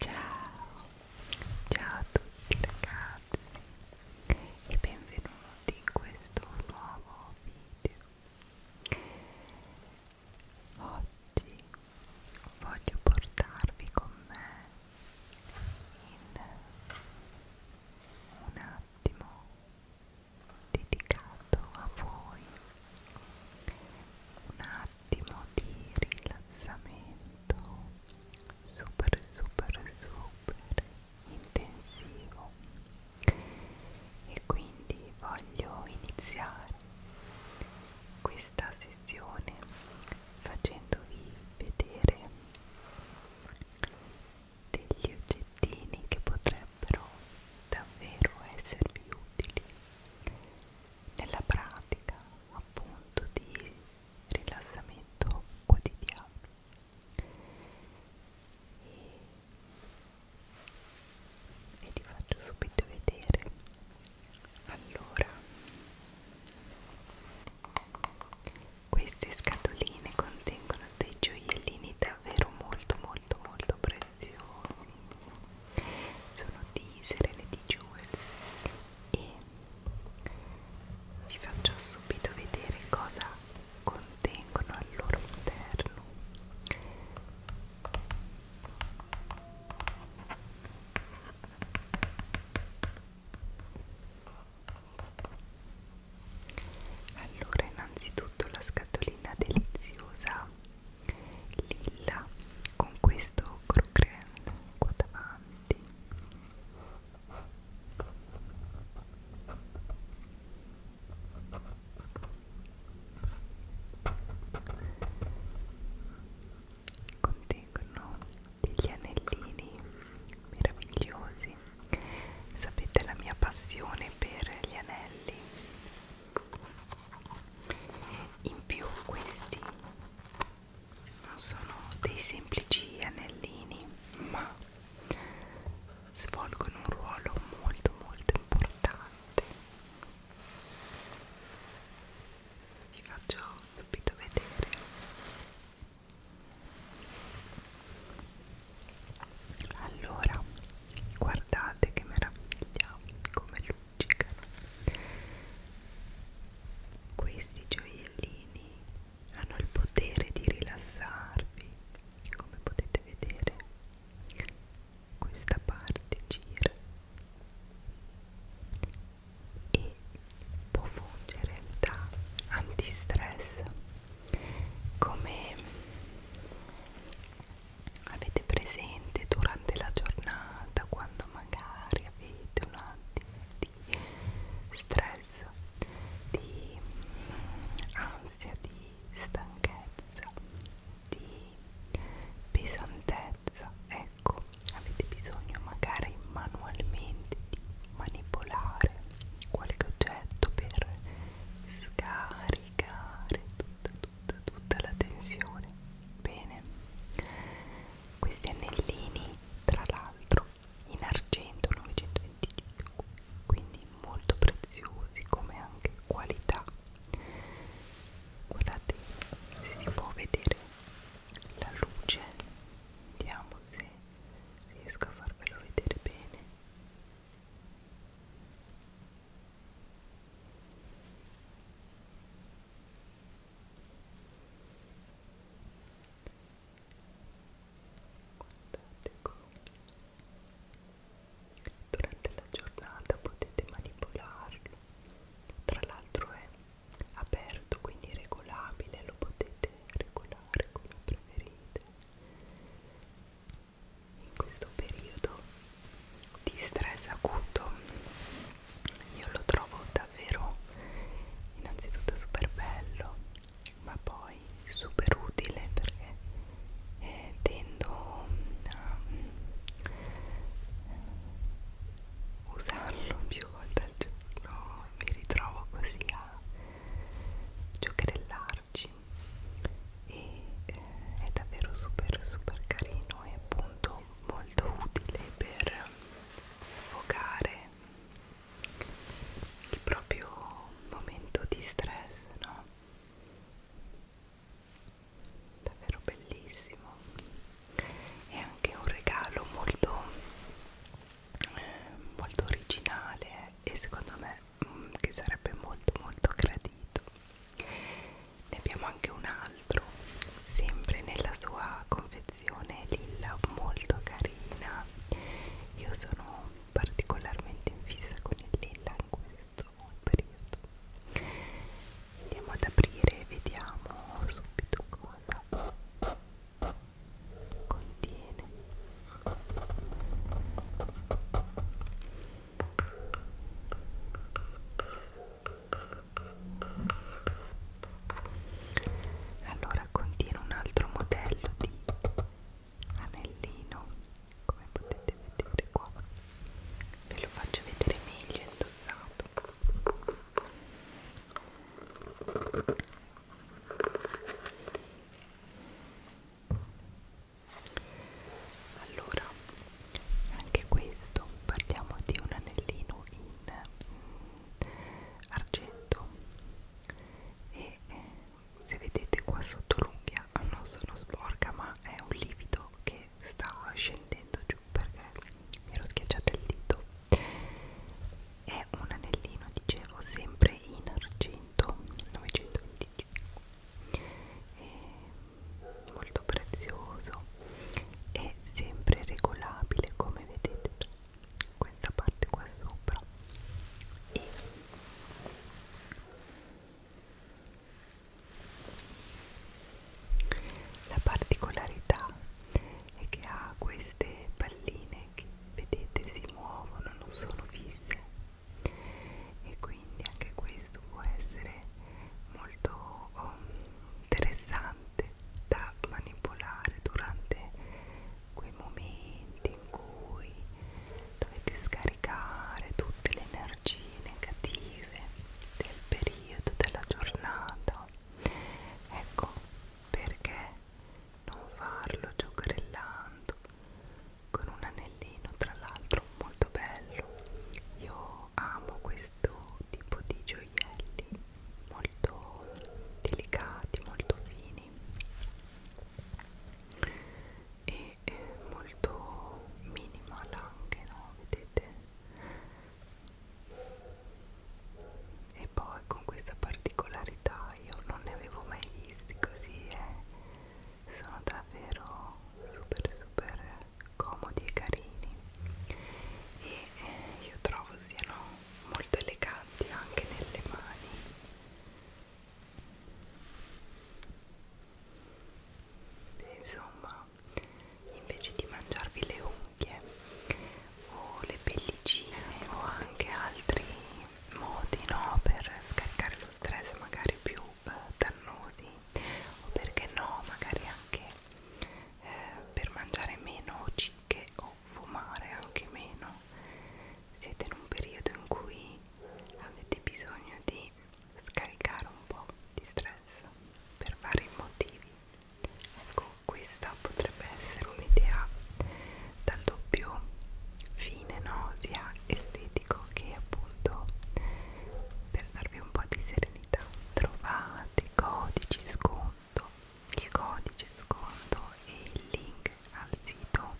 Ciao, ciao a tutti ragazzi e benvenuti in questo nuovo video. Oggi voglio portarvi con me in un attimo dedicato a voi, un attimo attimo di rilassamento super super super intensivo e quindi voglio iniziare questa sessione facendovi vedere degli oggettini che potrebbero davvero esservi utili nella pratica appunto di rilassamento quotidiano e ve li faccio subito vedere allora queste scatoline contengono dei gioiellini davvero molto molto molto preziosi sono di Serenity Jewels e vi faccio subito vedere cosa contengono al loro interno allora innanzitutto la scatolina deliziosa lilla con questo croccante qua davanti contengono degli anellini meravigliosi sapete la mia passione per gli anelli in più questi non sono dei semplici anellini ma svolgono un ruolo molto molto importante vi faccio subito vedere allora guardate che meraviglia come lui appiccicano questi gioiellini hanno il potere di rilassarvi come potete vedere questa parte gira e può fungere da antistress come avete presente durante la giornata quando magari avete un attimo di stress, di mm, ansia, di stanchezza, di pesantezza, ecco, avete bisogno magari manualmente di manipolare qualche oggetto per scaricare tutta tutta, tutta la tensione bene questi anellini tra l'altro in argento 925 quindi molto preziosi come anche qualità guardate se si può vedere la luce vediamo se riesco a farvelo vedere bene Guardate come durante la giornata potete manipolarlo, tra l'altro è aperto quindi regolabile, lo potete regolare come preferite. In questo periodo di stress acuto io lo trovo davvero innanzitutto super bello ma poi super utile perché eh, tendo a um, usarlo più volte al giorno mi ritrovo così a giocherellarci e eh, è davvero super super carino e appunto molto molto utile per sfogare il proprio momento di stress, no? Davvero bellissimo. È anche un regalo molto molto originale e secondo me mm, che sarebbe molto molto gradito ne abbiamo anche un altro sempre nella sua confezione lilla molto carina io sono particolarmente in fissa con il lilla in questo periodo andiamo ad aprire e vediamo subito cosa contiene allora contiene un altro modello di anellino come potete vedere qua ve lo faccio vedere meglio indossato allora anche questo parliamo di un anellino in mm, argento e eh, se vedete qua sotto l'unghia non sono sporca ma è un livido che sta scendendo giù perché mi ero schiacciata il dito è un anellino dicevo sempre in argento 925 e molto prezioso e sempre regolabile come vedete questa parte qua sopra e la particolarità è che ha queste palline che vedete si muovono non sono fisse e quindi anche questo può essere molto um, interessante da manipolare durante quei momenti in cui dovete scaricare tutte le energie negative del periodo, della giornata. Ecco perché non farlo giocherellando con un anellino tra l'altro molto bello io amo questo tipo di gioielli molto delicati molto fini e molto minimal anche no vedete e poi con questa particolarità io non ne avevo mai visti così eh. sono davvero super super comodi e carini e eh, io trovo siano molto eleganti anche nelle mani e insomma invece di mangiarvi le unghie o le pellicine o anche altri modi no, per scaricare lo stress magari più eh, dannosi o perché no magari anche eh, per mangiare meno cicche o fumare anche meno siete in un periodo in cui avete bisogno di scaricare un po' di stress per vari motivi ecco questa potrebbe essere un'idea dal doppio fine no sia estetica medico che appunto per darvi un po' di serenità trovate codici sconto il codice sconto e il link al sito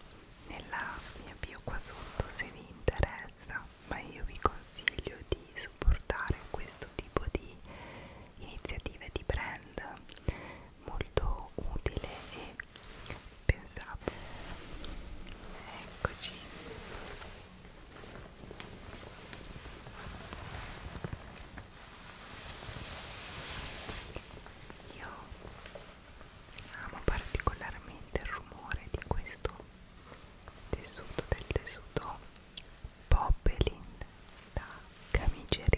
nella mia bio qua sotto se vi interessa ma io vi consiglio di supportare questo tipo di iniziative di brand molto utile e pensate eccoci io amo particolarmente il rumore di questo tessuto del tessuto Poppelin da camiceria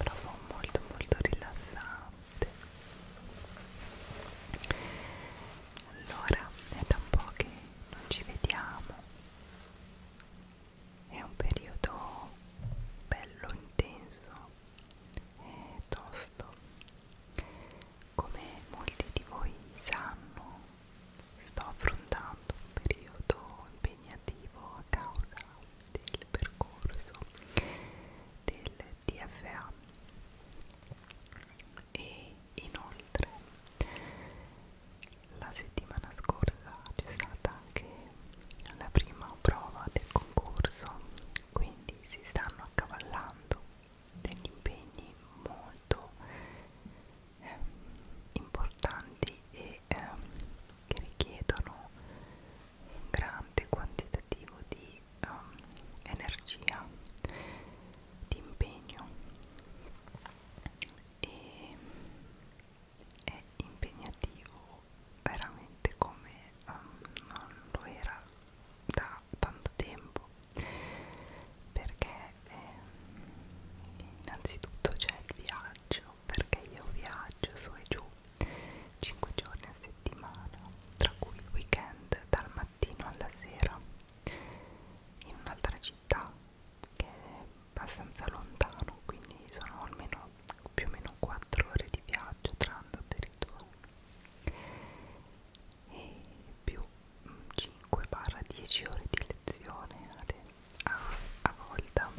provo molto molto rilassante allora è da un po' che non ci vediamo è un periodo bello intenso è tosto come molti di voi sanno sto affrontando un periodo impegnativo a causa del percorso del TFA e inoltre la settimana scorsa c'è stata anche la prima prova del concorso quindi si stanno accavallando degli impegni molto eh, importanti e eh, che richiedono un grande quantitativo di eh, energia, di impegno e è impegnativo veramente come um, non lo era da tanto tempo perché eh, innanzitutto c'è il viaggio perché io viaggio su e giù 5 giorni a settimana tra cui il weekend dal mattino alla sera in un'altra città che è abbastanza lontano quindi sono almeno più o meno 4 ore di viaggio tra andata e ritorno e più 5-10 mm, ore di lezione a, a volta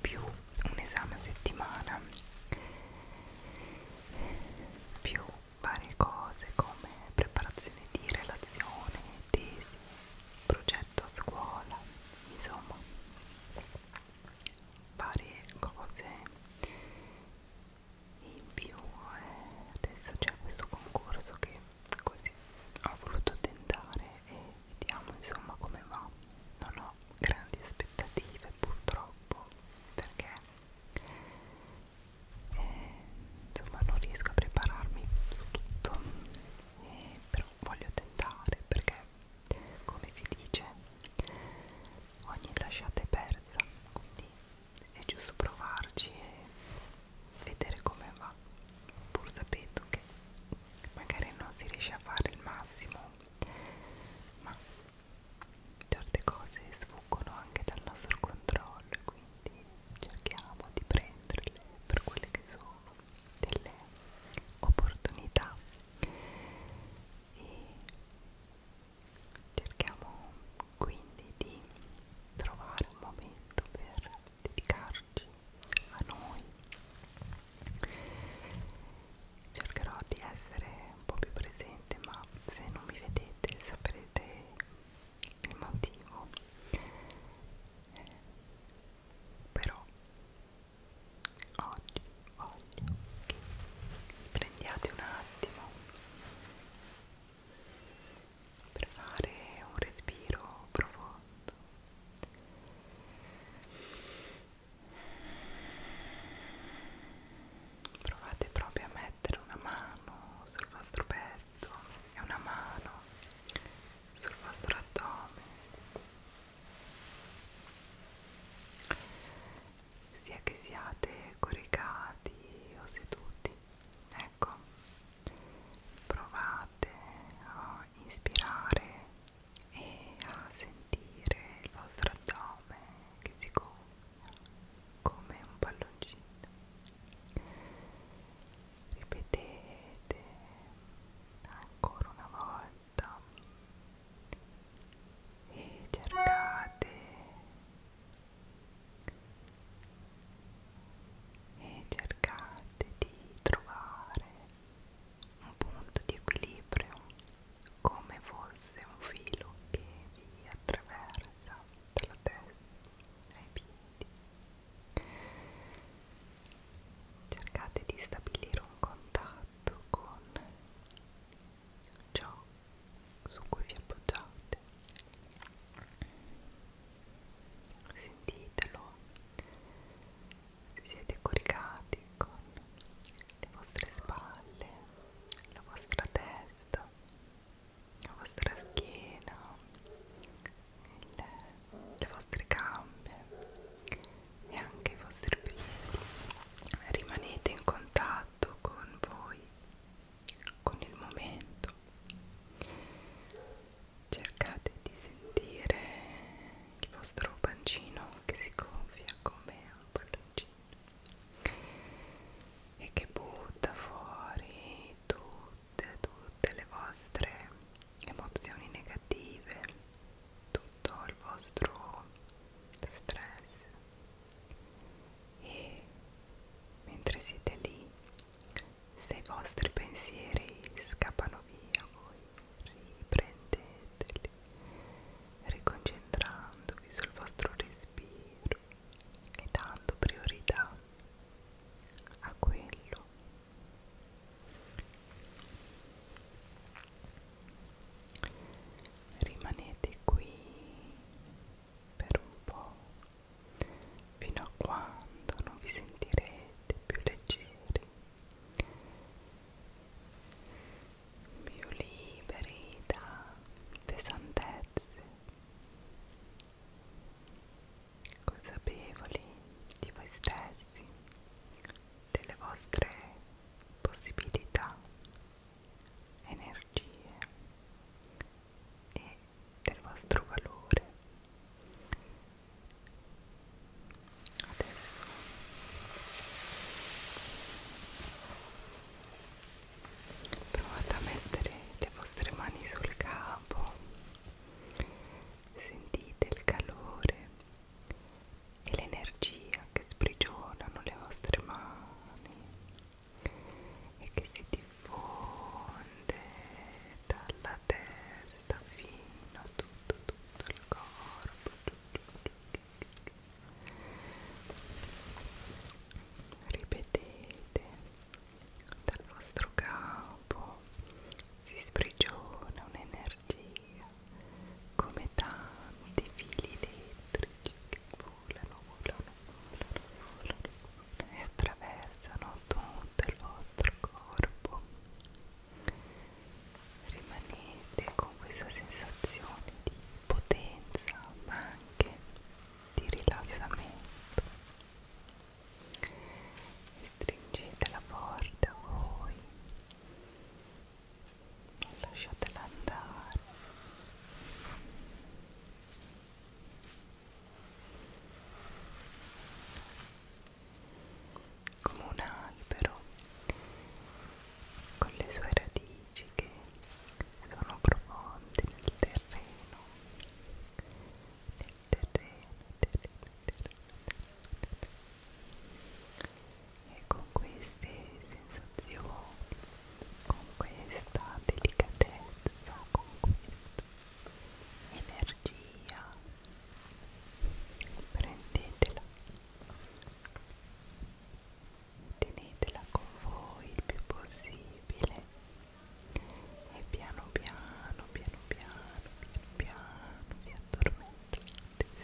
più un esame a settimana più varie cose come preparazione di relazione, tesi, progetto a scuola, insomma varie cose in più eh, adesso c'è questo concorso che così ho voluto tentare e vediamo insomma come va non ho grandi aspettative purtroppo perché eh, insomma non riesco a prepararmi su tutto eh, però voglio tentare perché come si dice ogni lasciata è persa quindi è giusto provarci e vedere come va pur sapendo che magari non si riesce a fare il massimo ma certe cose sfuggono anche dal nostro controllo e quindi cerchiamo di prenderle per quelle che sono delle opportunità e cerchiamo quindi di trovare un momento per dedicarci a noi cercherò di essere un po' più presente ma se non mi vedete saprete il motivo eh, però oggi voglio che prendiate un attimo per fare un respiro profondo provate proprio a mettere una mano sul vostro petto e una mano sul vostro addome sia che siate coricati o seduti ecco provate a inspirare e a sentire il vostro addome che si gonfia come un palloncino ripetete ancora una volta testa e cercate e cercate di trovare un punto di equilibrio come fosse un filo che vi attraversa dalla testa ai piedi cercate di stabilire un contatto con ciò su cui vi appoggiate sentitelo se siete coricati con le vostre spalle la vostra testa la vostra schiena il, le vostre gambe e anche i vostri biglietti. Rimanete in contatto con voi, con il momento. Cercate di sentire il vostro pancino che si gonfia come un palloncino e che butta fuori tutte, tutte le vostre emozioni negative tutto il vostro stress e mentre siete lì se i vostri pensieri scappano via voi riprendeteli riconcentrandovi sul vostro respiro e dando priorità a quello rimanete qui per un po' fino a quando non vi sentirete più leggeri più liberi da pesantezze consapevoli di voi stessi delle vostre possibilità, energie e del vostro valore. Adesso provate a mettere le vostre mani sul capo, sentite il calore e l'energia che sprigionano le vostre mani e che si diffonde dalla testa fino a tutto, tutto il corpo. Ripetete, dal vostro capo si sprigiona un'energia come tanti fili elettrici che volano, volano, volano, volano, volano e attraversano tutto il vostro corpo. Rimanete con questa sensazione di potenza ma anche di rilassamento e stringetela forte a voi lasciatela andare come un albero con le sue radici che sono profonde nel terreno nel terreno, terreno, terreno, terreno, terreno e con queste sensazioni, con questa delicatezza, con questa energia, prendetela, tenetela con voi il più possibile e piano piano, piano piano, piano piano vi addormentate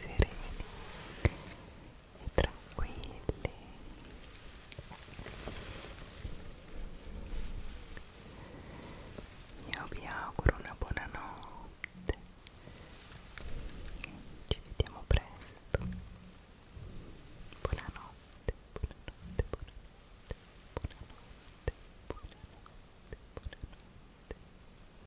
sereni e tranquilli io vi auguro una buona notte ci vediamo presto buonanotte buonanotte buonanotte buonanotte buonanotte buonanotte